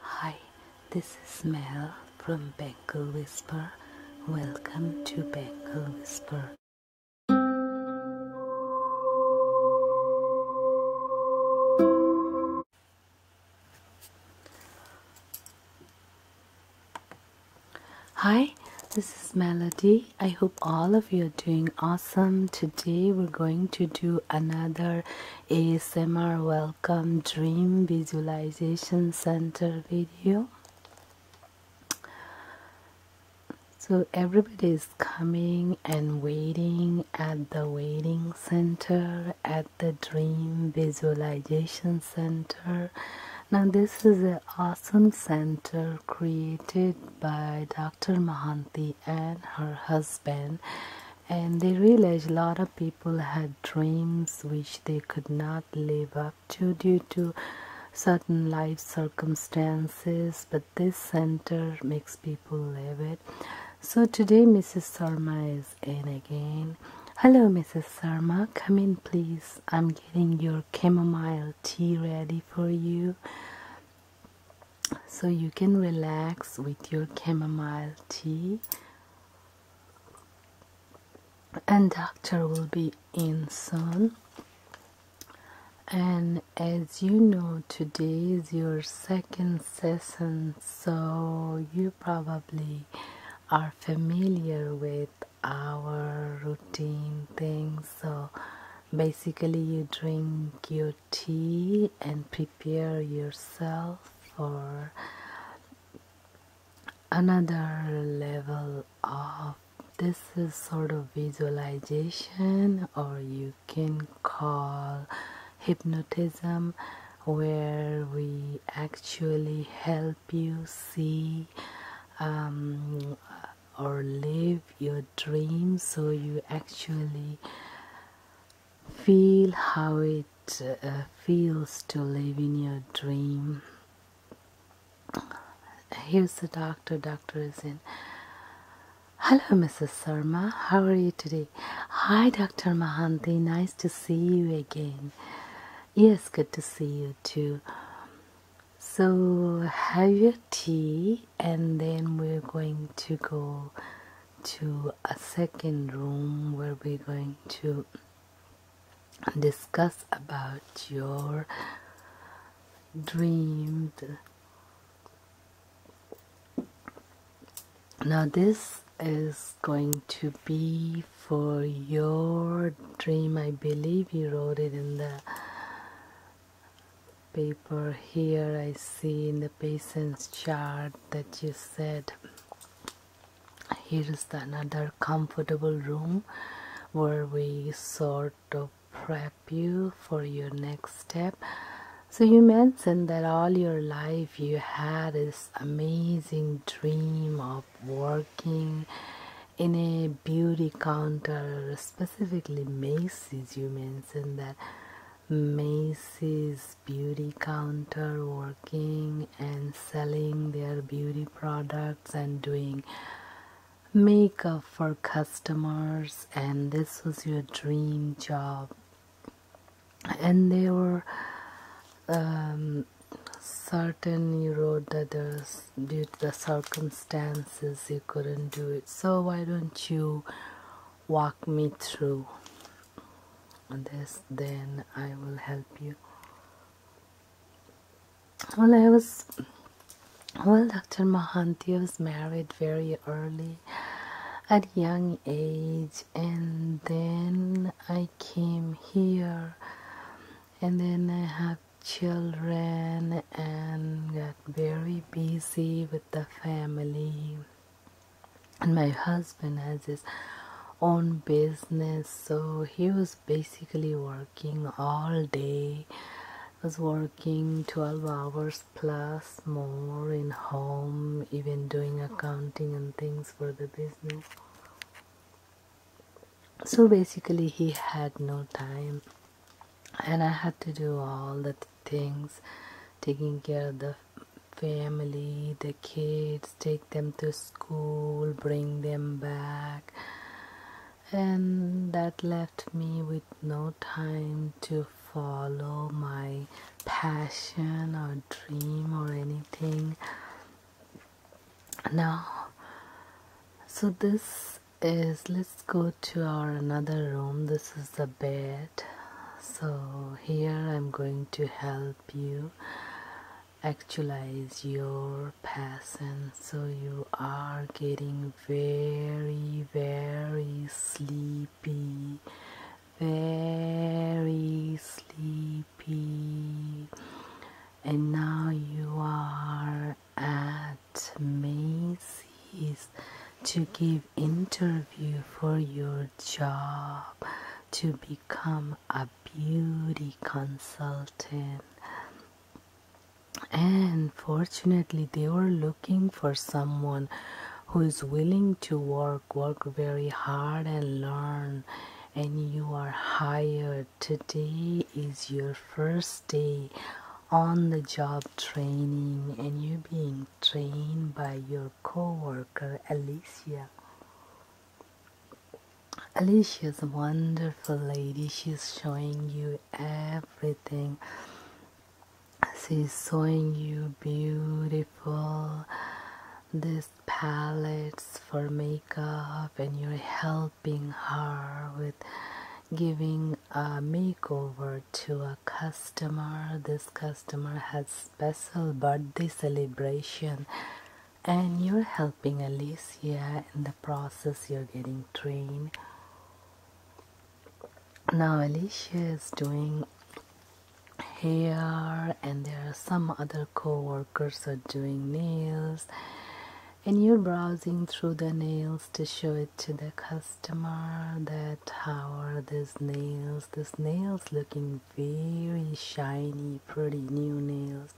Hi, this is Mel from Bengal Whisper. Welcome to Bengal Whisper. Hi, this is Melody. I hope all of you are doing awesome. Today we're going to do another ASMR Welcome Dream Visualization Center video. So everybody is coming and waiting at the waiting center at the Dream Visualization Center. Now this is an awesome center created by Dr. Mahanti and her husband and they realized a lot of people had dreams which they could not live up to due to certain life circumstances but this center makes people live it so today mrs sarma is in again hello mrs sarma come in please i'm getting your chamomile tea ready for you so you can relax with your chamomile tea and doctor will be in soon and as you know today is your second session so you probably are familiar with our routine things so basically you drink your tea and prepare yourself for another level of this is sort of visualization or you can call hypnotism where we actually help you see um, or live your dream so you actually feel how it uh, feels to live in your dream here's the doctor doctor is in hello mrs sarma how are you today hi dr mahanti nice to see you again yes good to see you too so have your tea and then we're going to go to a second room where we're going to discuss about your dream. now this is going to be for your dream I believe you wrote it in the paper here I see in the patient's chart that you said here is another comfortable room where we sort of prep you for your next step so you mentioned that all your life you had this amazing dream of working in a beauty counter specifically Macy's, you mentioned that Macy's beauty counter working and selling their beauty products and doing makeup for customers, and this was your dream job. And there were um, certain you wrote that there's due to the circum circumstances you couldn't do it. So why don't you walk me through this? Then I will help you. Well, I was well, Dr. Mahanti was married very early at young age and then I came here and then I have children and uh, very busy with the family and my husband has his own business so he was basically working all day was working 12 hours plus more in home even doing accounting and things for the business so basically he had no time and I had to do all the things taking care of the family the kids take them to school bring them back and that left me with no time to follow my passion or dream or anything now so this is let's go to our another room this is the bed so here I'm going to help you actualize your passion so you are getting very very sleepy very sleepy and now you are at Macy's to give interview for your job to become a beauty consultant and fortunately they were looking for someone who is willing to work work very hard and learn and you are hired today is your first day on the job training and you're being trained by your co-worker Alicia. is a wonderful lady. She's showing you everything. She's showing you beautiful this palettes for makeup and your health helping her with giving a makeover to a customer. This customer has special birthday celebration and you're helping Alicia in the process you're getting trained. Now Alicia is doing hair and there are some other co-workers are doing nails and you're browsing through the nails to show it to the customer that how are these nails these nails looking very shiny pretty new nails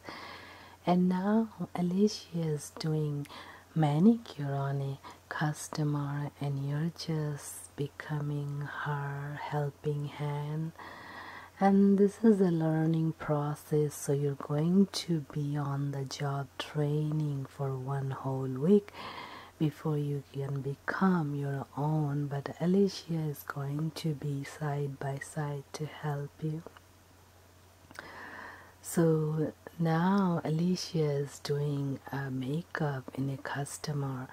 and now alicia is doing manicure on a customer and you're just becoming her helping hand and this is a learning process so you're going to be on the job training for one whole week before you can become your own but Alicia is going to be side by side to help you so now Alicia is doing a uh, makeup in a customer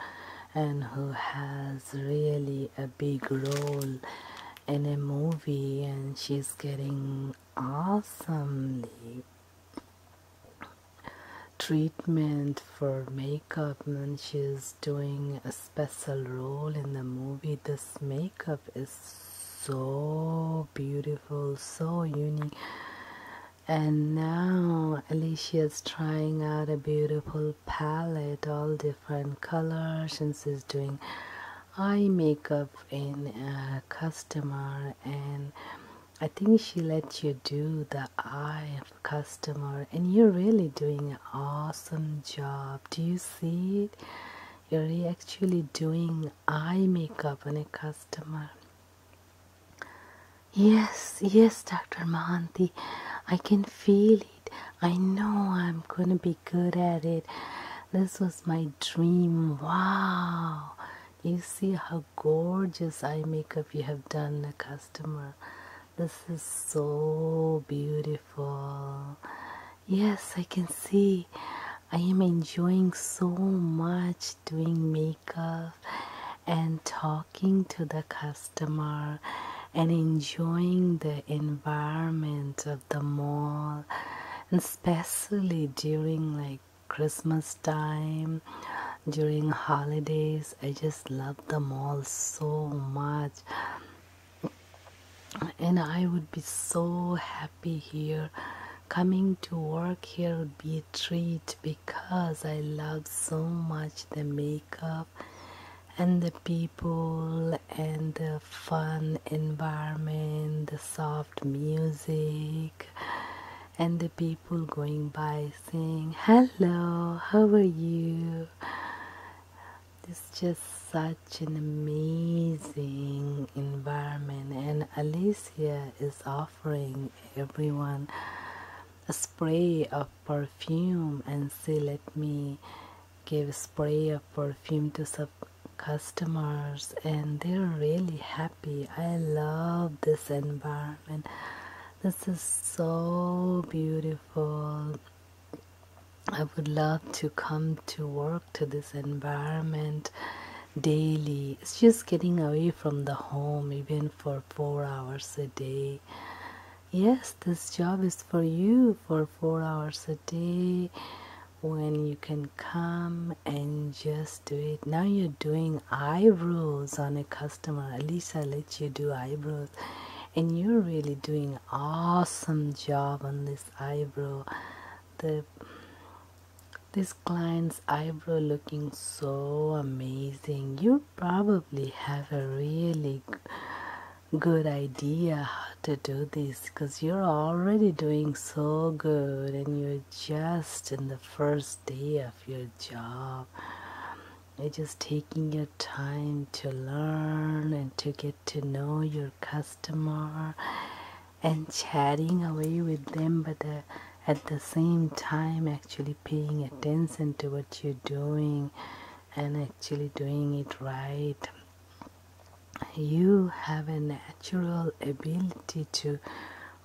and who has really a big role in a movie and she's getting awesomely treatment for makeup and she's doing a special role in the movie this makeup is so beautiful so unique and now Alicia is trying out a beautiful palette all different colors and she's doing eye makeup in a uh, customer and I think she lets you do the eye of a customer and you're really doing an awesome job. Do you see it? You're actually doing eye makeup on a customer. Yes, yes, Dr. Mahanti, I can feel I know I'm gonna be good at it. This was my dream. Wow. You see how gorgeous eye makeup you have done, the customer. This is so beautiful. Yes, I can see. I am enjoying so much doing makeup and talking to the customer and enjoying the environment of the mall, especially during like Christmas time, during holidays. I just love the mall so much. And I would be so happy here. Coming to work here would be a treat because I love so much the makeup and the people and the fun environment, the soft music, and the people going by saying, Hello, how are you? It's just such an amazing environment, and Alicia is offering everyone a spray of perfume and say, Let me give spray of perfume to some customers and they're really happy i love this environment this is so beautiful i would love to come to work to this environment daily it's just getting away from the home even for four hours a day yes this job is for you for four hours a day when you can come and just do it now you're doing eyebrows on a customer at least i let you do eyebrows and you're really doing awesome job on this eyebrow the this client's eyebrow looking so amazing you probably have a really good idea how to do this because you're already doing so good and you're just in the first day of your job. You're just taking your time to learn and to get to know your customer and chatting away with them, but at the same time, actually paying attention to what you're doing and actually doing it right you have a natural ability to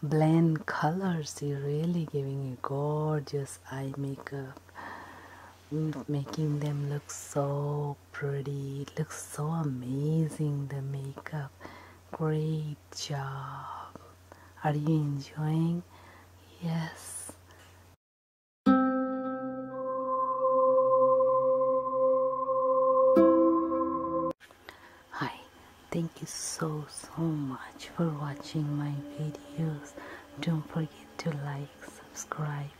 blend colors you're really giving a gorgeous eye makeup mm, making them look so pretty looks so amazing the makeup great job are you enjoying yes Hi, thank you so so much for watching my videos. Don't forget to like, subscribe.